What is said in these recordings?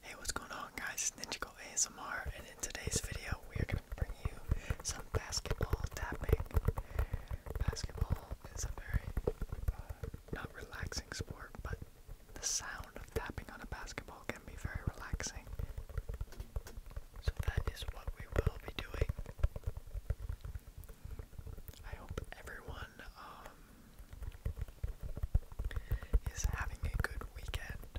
Hey, what's going on guys? It's Ninjago ASMR and in today's video we are going to bring you some basketball tapping. Basketball is a very, uh, not relaxing sport, but the sound of tapping on a basketball can be very relaxing. So that is what we will be doing. I hope everyone um, is having a good weekend.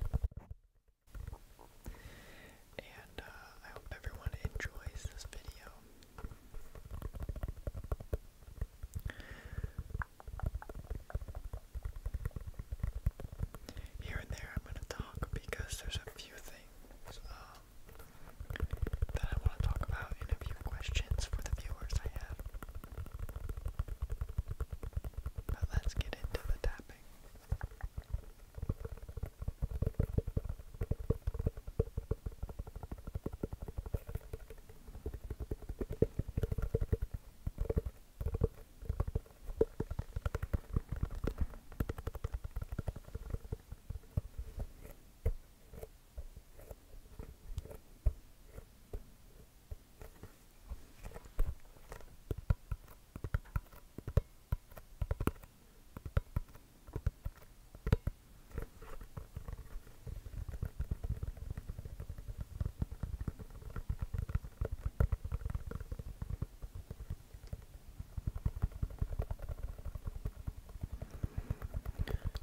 And uh, I hope everyone enjoys this video. Here and there, I'm going to talk because there's a few things um, that I want to talk about and a few questions for the viewers I have. But let's get into the tapping.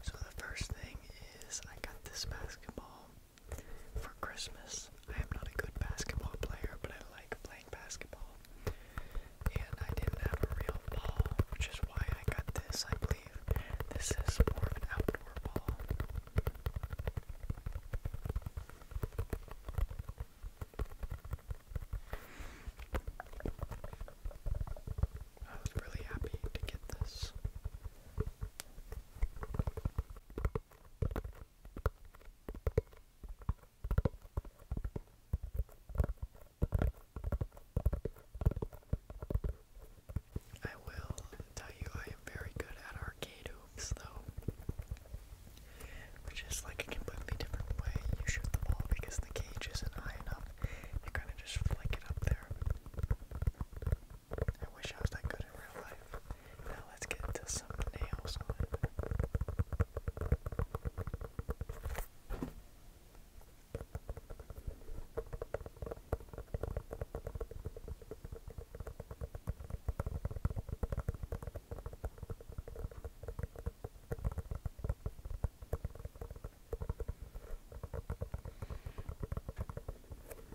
So the first thing is I got this basketball for Christmas. I am not a good basketball player, but I like playing basketball. And I didn't have a real ball, which is why I got this, I believe. This is more of an outdoor ball. I was really happy to get this. I will tell you I am very good at arcade hoops though. Which is like a completely different way you shoot the ball because the cage isn't high enough. You kinda just flick it up there. I wish I was that good in real life. Now let's get into some nails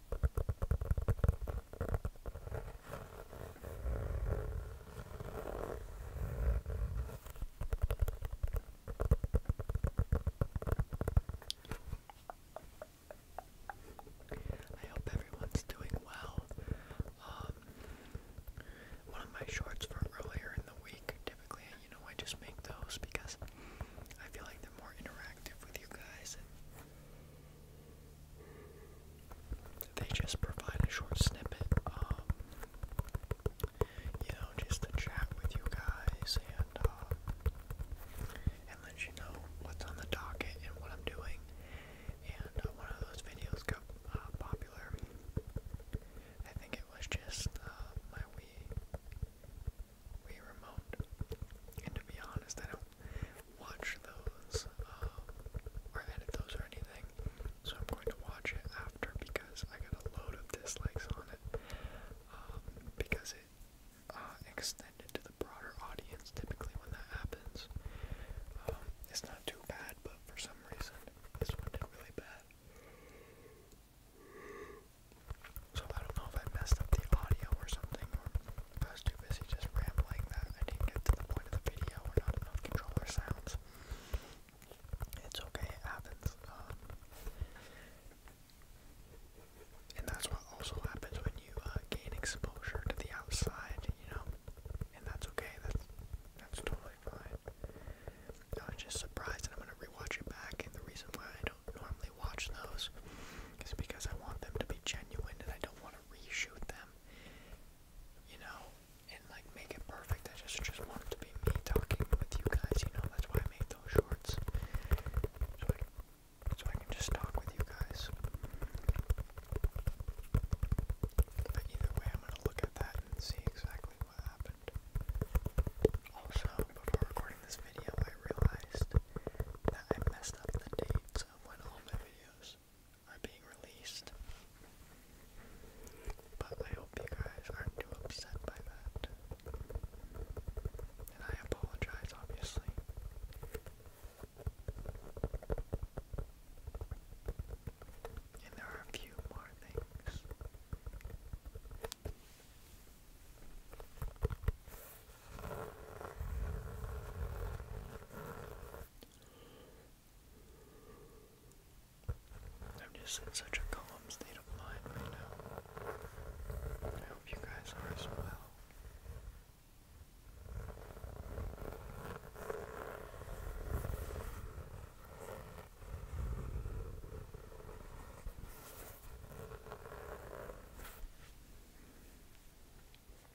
I hope everyone's doing well. Um, one of my shorts from earlier in the week, typically, you know, I just make those because I feel like they're more interactive with you guys. They just provide a short snippet, um, you know, just to chat with you guys and uh, and let you know what's on the docket and what I'm doing. And uh, one of those videos got uh, popular. I think it was just my Wii Wii remote. And to be honest, I don't watch those uh, or edit those or anything. So I'm going to watch it after because I got a load of dislikes on it um, because it uh, extended to the broader audience. Typically, when that happens, um, it's not too bad, but for some reason, this one did really bad. So I don't know if I messed up the audio or something, I was too busy just rambling that I didn't get to the point of the video We're not enough controller sounds. It's okay, it happens. Um, and that's what also happens when you uh, gain exposure to the outside, you know? And that's okay, that's, that's totally fine. I was just surprised and I'm going to rewatch it back. And the reason why I don't normally watch those is because I want them to be genuine and I don't want to reshoot them you know, and like make it perfect. I just just want to be me talking with you guys, you know, that's why I made those shorts. So I, can just talk with you guys. But either way, I'm gonna look at that and see exactly what happened. Also, before recording this video, I realized that I messed up the dates of when all my videos are being released. But I hope you guys aren't too upset by that. And I apologize, obviously. And there are a few more things. I'm just in such a calm state of mind right now. I hope you guys are as well.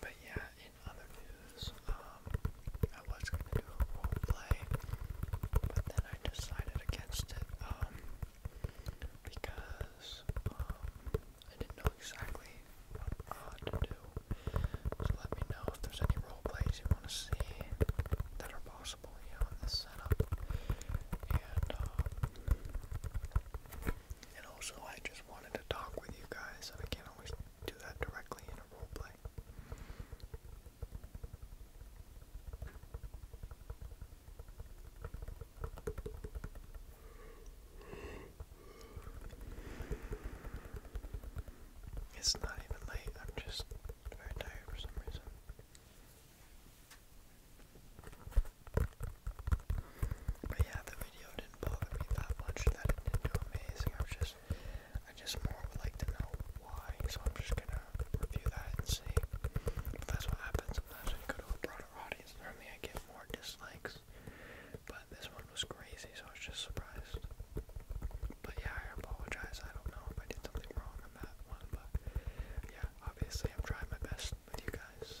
But yeah, in other news, um, I was going to do a role play, but then I decided against it, um, because, um, I didn't know exactly what uh, to do. So let me know if there's any role plays you want to see that are possible. Um, and, also I just wanted to talk with you guys, and I can always do that directly in a roleplay. It's not even late, I'm just very tired for some reason. But yeah, the video didn't bother me that much that didn't do amazing. I'm just I just more would like to know why, so I'm just gonna review that and see. if that's what happens sometimes when you go to a broader audience. Normally I get more dislikes. But this one was crazy, so I was just surprised. But yeah, I apologize. I don't know if I did something wrong on that one, but yeah, obviously I'm trying my best with you guys.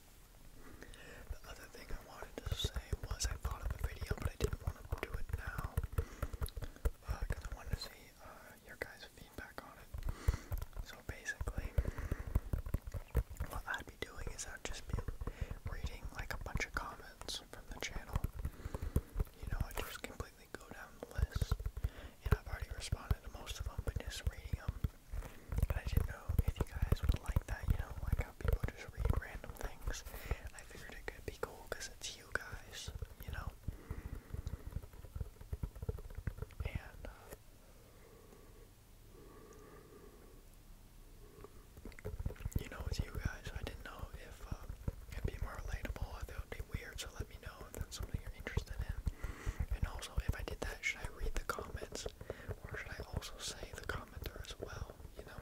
The other thing I wanted to say was I thought of a video, but I didn't want to do it now because uh, I wanted to see uh, your guys' feedback on it. So basically, what I'd be doing is I'd just be reading like a bunch of comments from the channel. You know, I just completely go down the list, and I've already responded to most of them, but just reading them I didn't know if you guys would like that, you know, like how people just read random things. I figured it could be cool because it's you guys, you know. And uh, you know, it's you guys. I didn't know if uh, it'd be more relatable, if it would be weird. So let me know if that's something you're interested in. And also, if I did that, should I read the comments? or should I also say the commenter as well, you know?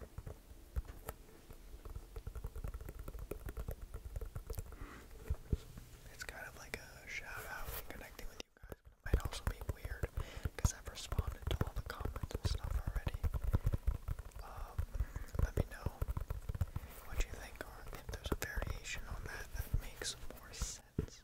It's kind of like a shout and connecting with you guys, but it might also be weird because I've responded to all the comments and stuff already. Um, let me know what you think, or if there's a variation on that that makes more sense.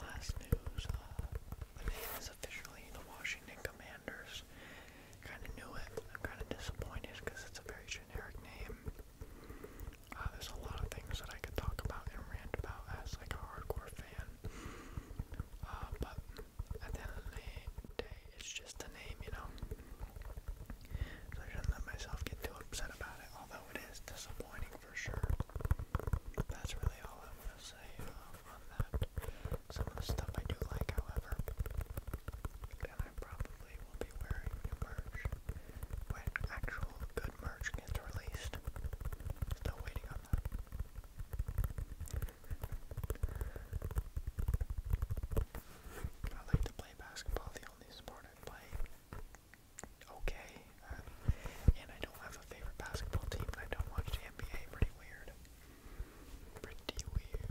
last news, uh, the name is officially the Washington Commanders. Kind of knew it. I'm kind of disappointed because it's a very generic name. Uh, there's a lot of things that I could talk about and rant about as like a hardcore fan. Uh, but at the end of the day, it's just a name, you know. I shouldn't let myself get too upset about it, although it is disappointing for sure. That's really all I want to say um, on that. Some of the stuff I do like, however, and I probably will be wearing new merch when actual good merch gets released. Still waiting on that. I like to play basketball, the only sport I play okay. and I don't have a favorite basketball team, I don't watch the NBA. Pretty weird. Pretty weird.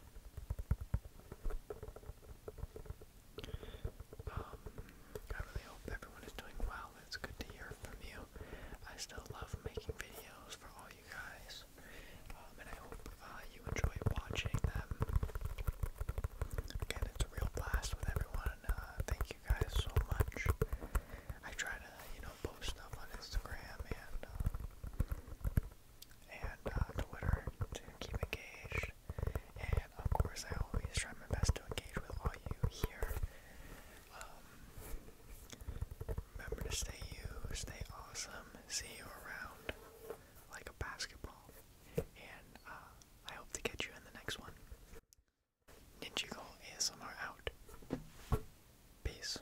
Um, I really hope everyone is doing well. It's good to hear from you. I still love making videos for all you guys, um, and I hope uh, you enjoy watching them. Again, it's a real blast with everyone. Uh, thank you guys so much. I try to, you know, post stuff on Instagram and um, and uh, Twitter keep engaged. And of course, I always try my best to engage with all you here. Um, remember to stay you, stay awesome, see you around like a basketball. And uh, I hope to catch you in the next one. Ninjago ASMR out. Peace.